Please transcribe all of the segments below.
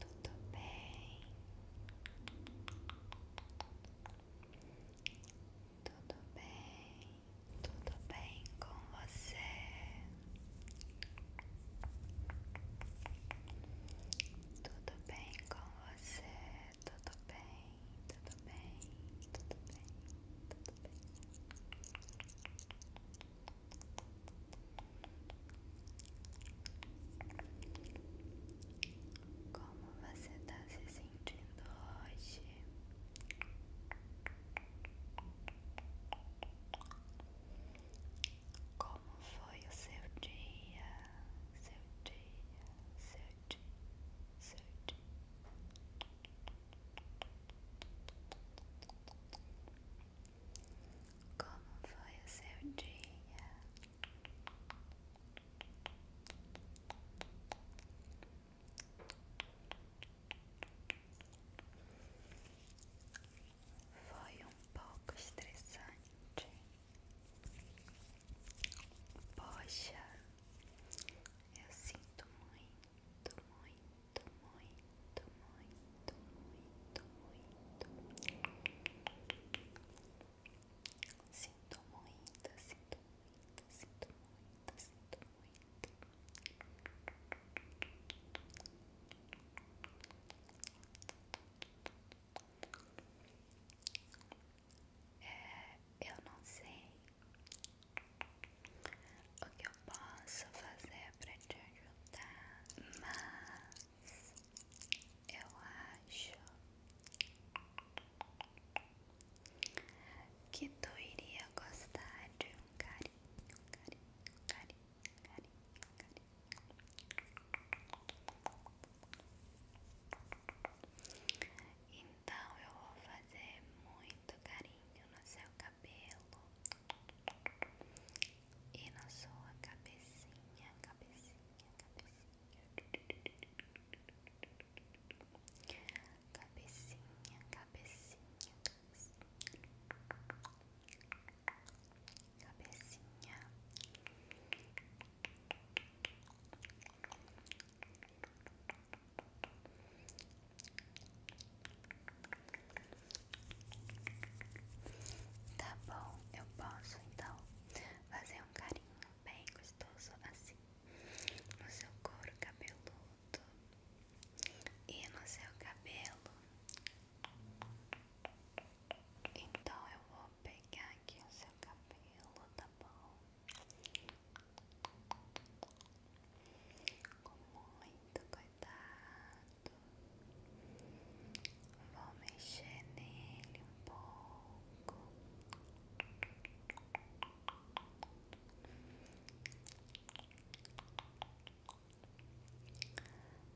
Tudo bem? Tudo bem? Tudo bem com você? Tudo bem com você? Tudo bem? Tudo bem? Tudo bem? Tudo bem? Como você está se sentindo hoje? Como foi o seu dia? Seu dia, seu dia, seu dia. Como foi o seu dia? Foi um pouco estressante. Poxa, eu sinto muito, muito, muito sinto muito, muito, muito. Sinto muito, sinto muito, sinto muito, sinto muito. É, eu não sei o que eu posso fazer para te ajudar, mas eu acho que tu iria gostar de um carinho, carinho, carinho, carinho, carinho. Então eu vou fazer muito carinho no seu cabelo e na sua cabecinha, cabecinha, cabecinha, cabecinha, cabecinha, cabecinha. Tá bom, eu posso então fazer um carinho bem gostoso assim no seu couro cabeludo e no seu cabelo. Então eu vou pegar aqui o seu cabelo, tá bom? Com muito cuidado. Vou mexer nele um pouco.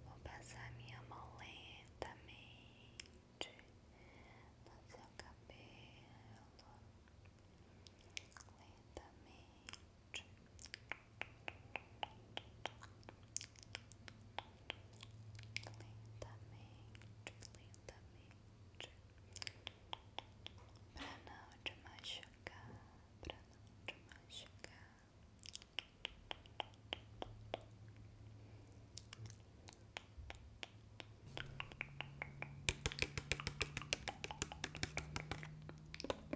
Vou passar minha mão lentamente no seu cabelo, lentamente lentamente, para não te machucar, para não te machucar.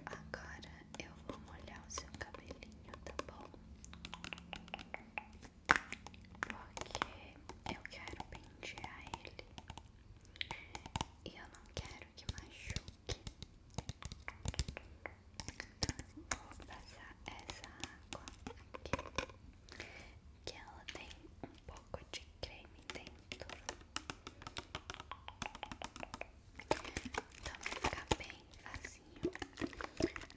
Agora eu vou molhar o seu cabelinho, tá bom? Porque eu quero pentear ele e eu não quero que machuque. Então, vou passar essa água aqui, que ela tem um pouco de creme dentro. Então vai ficar bem facinho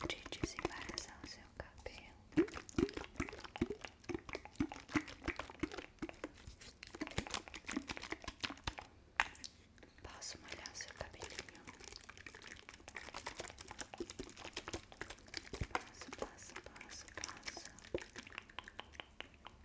de desembaraçar o seu cabelo. Posso molhar o seu cabelinho? Posso, posso, posso, posso.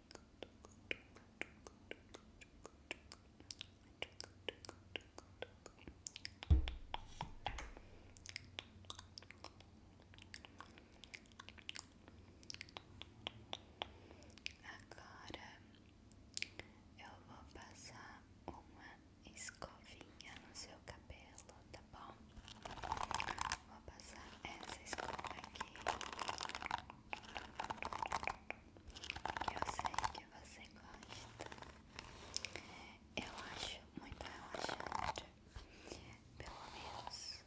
Agora eu vou passar uma escovinha no seu cabelo, tá bom? Vou passar essa escova aqui. Eu sei que você gosta. Eu acho muito relaxante. Pelo menos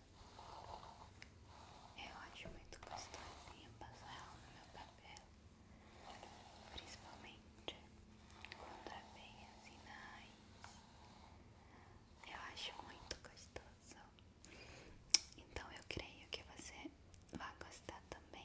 eu acho muito gostosinho passar ela no meu cabelo. Principalmente quando é bem assim na Eu acho muito gostoso. Então eu creio que você vai gostar também.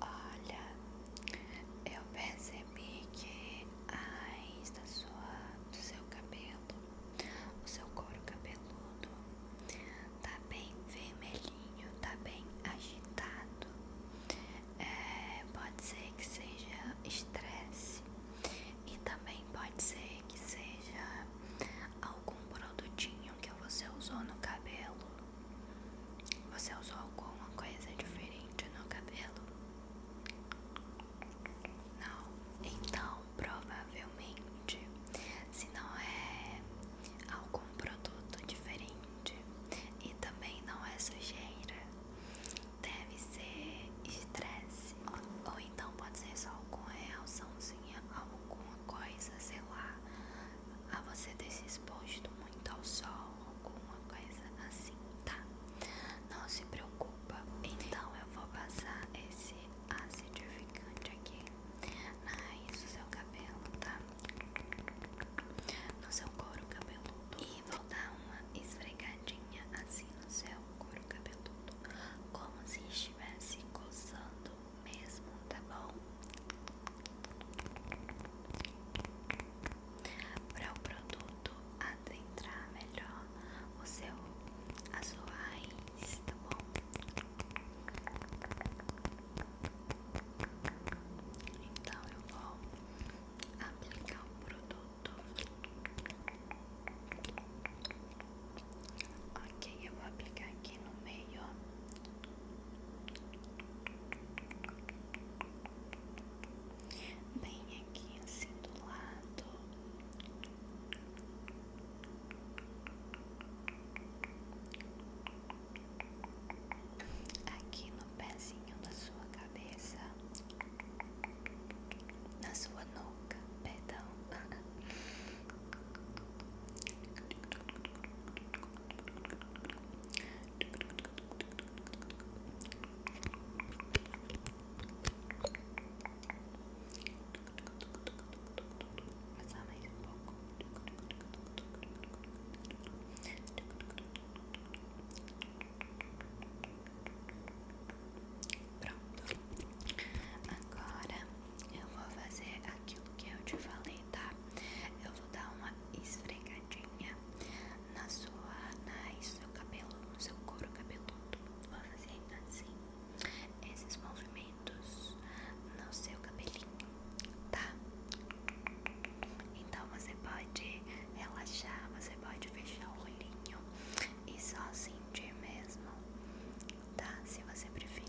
Olha, eu percebi que a raiz do seu cabelo, o seu couro cabeludo, tá bem vermelhinho, tá bem agitado. É, pode ser que seja estresse e também pode ser que seja algum produtinho que você usou no cabelo você usou alguma coisa diferente no cabelo? Não. Então, provavelmente, se não é algum produto diferente e também não é sujeira, deve ser estresse. Ou, então pode ser só algum reaçãozinha, alguma coisa, sei lá, a você desse se exposto muito muito ao sol, alguma coisa assim, tá? Não se preocupa. Então eu vou passar esse acidificante aqui na raiz do seu cabelo, tá? No seu couro cabeludo. E vou dar uma esfregadinha assim no seu couro cabeludo, como se estivesse coçando mesmo, tá bom? Para o produto adentrar melhor o seu, a sua raiz, tá bom? Então eu vou aplicar o produto. Ok, eu vou aplicar aqui no meio bem aqui assim do lado. Aqui no pezinho da sua cabeça, na sua nuca, perdão. Passar mais um pouco. Pronto. Agora eu vou fazer aquilo que eu te falei, tá? Eu vou dar uma esfregadinha na sua no seu cabelo, no seu couro cabeludo. Vou fazer assim, esses movimentos no seu cabelinho, tá? Então você pode relaxar, você pode fechar o olhinho e só sentir mesmo, tá? Se você preferir.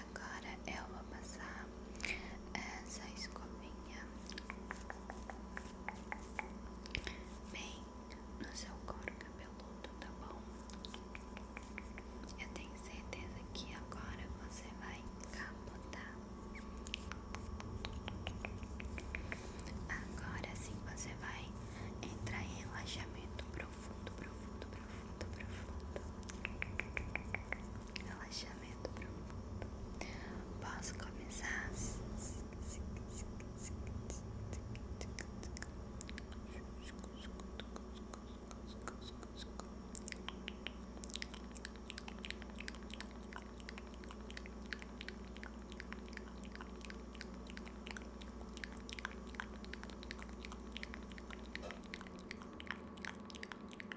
Agora eu é vou passar essa é, escovinha bem no seu couro cabeludo, tá bom? Eu tenho certeza que agora você vai capotar. Agora sim você vai entrar em relaxamento profundo, profundo, profundo, profundo relaxamento profundo. Posso começar?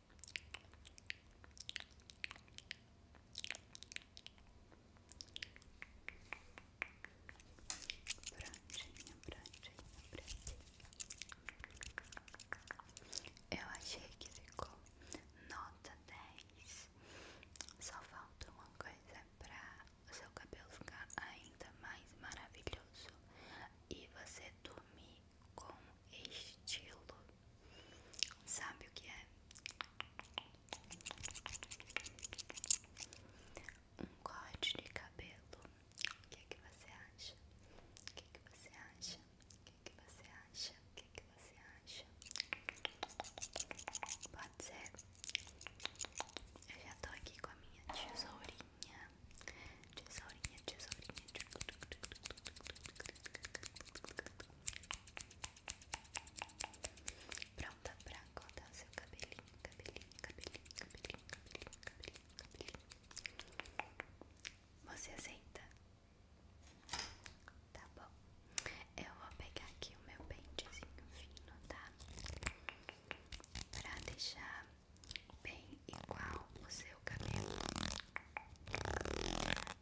Prontinho, prontinho, prontinho. Eu achei que ficou nota 10. Só falta uma coisa para o seu cabelo ficar ainda mais maravilhoso e você dormir com estilo. Sabe o que é? Um corte de cabelo. O que é que você acha? O que é que você acha? O que é que você acha? O que que você acha? Pode ser? Eu já tô aqui com a minha tesourinha tesourinha, tesourinha, Pronta pra cortar seu cabelinho, cabelinho, cabelinho, cabelinho, cabelinho, cabelinho. Você aceita? Tá bom. Eu vou pegar aqui o meu pentezinho fino, tá? Pra deixar bem igual o seu cabelo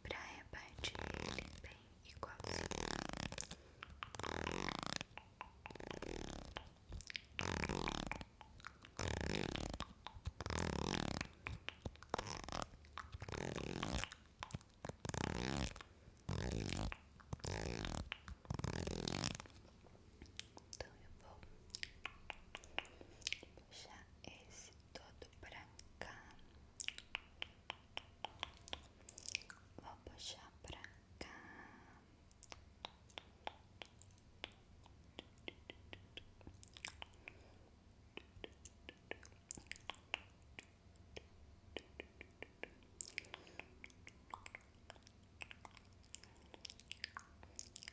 pra repartir ele bem igual então eu vou puxar esse todo pra cá. Vou puxar pra cá.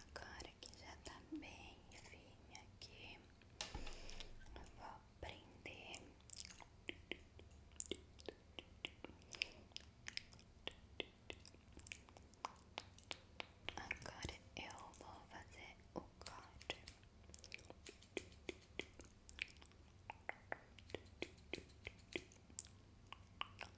Agora que já tá bem firme aqui, vou prender. Agora eu vou fazer o corte.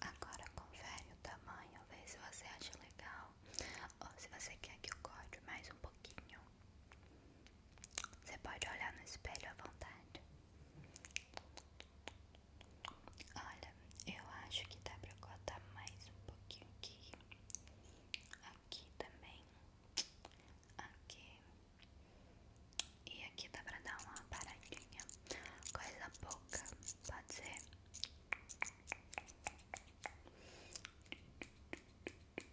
Agora confere o tamanho, veja se você acha legal ou se você quer que eu corte mais um pouquinho. Você pode olhar no espelho à vontade. Olha, eu acho que dá pra cortar mais um pouquinho aqui. Aqui também. Aqui. E aqui dá pra dar uma paradinha. Coisa pouca. Pode ser.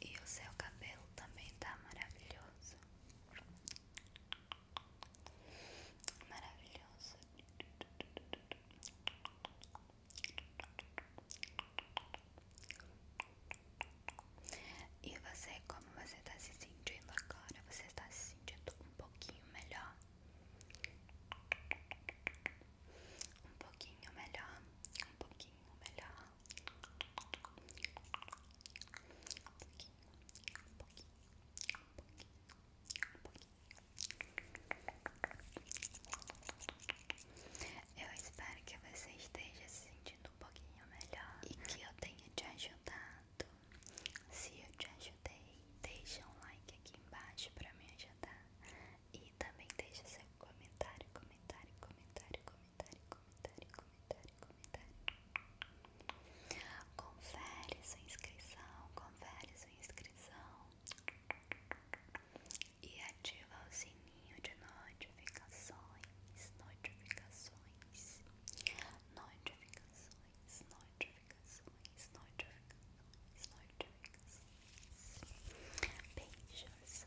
E o seu cabelo também tá maravilhoso. Maravilhoso. E você, como você tá se sentindo agora? Você está se sentindo um pouquinho melhor? Um pouquinho melhor, um pouquinho melhor. Eu espero que você esteja se sentindo um pouquinho melhor e que eu tenha te ajudado. Se eu te ajudei, deixa um like aqui embaixo pra me ajudar e também deixe seu comentário, comentário, comentário, comentário, comentário, comentário, comentário. Confere sua inscrição, confere sua inscrição. E ativa o sininho de notificações, notificações, notificações, notificações, notificações, notificações. Beijos.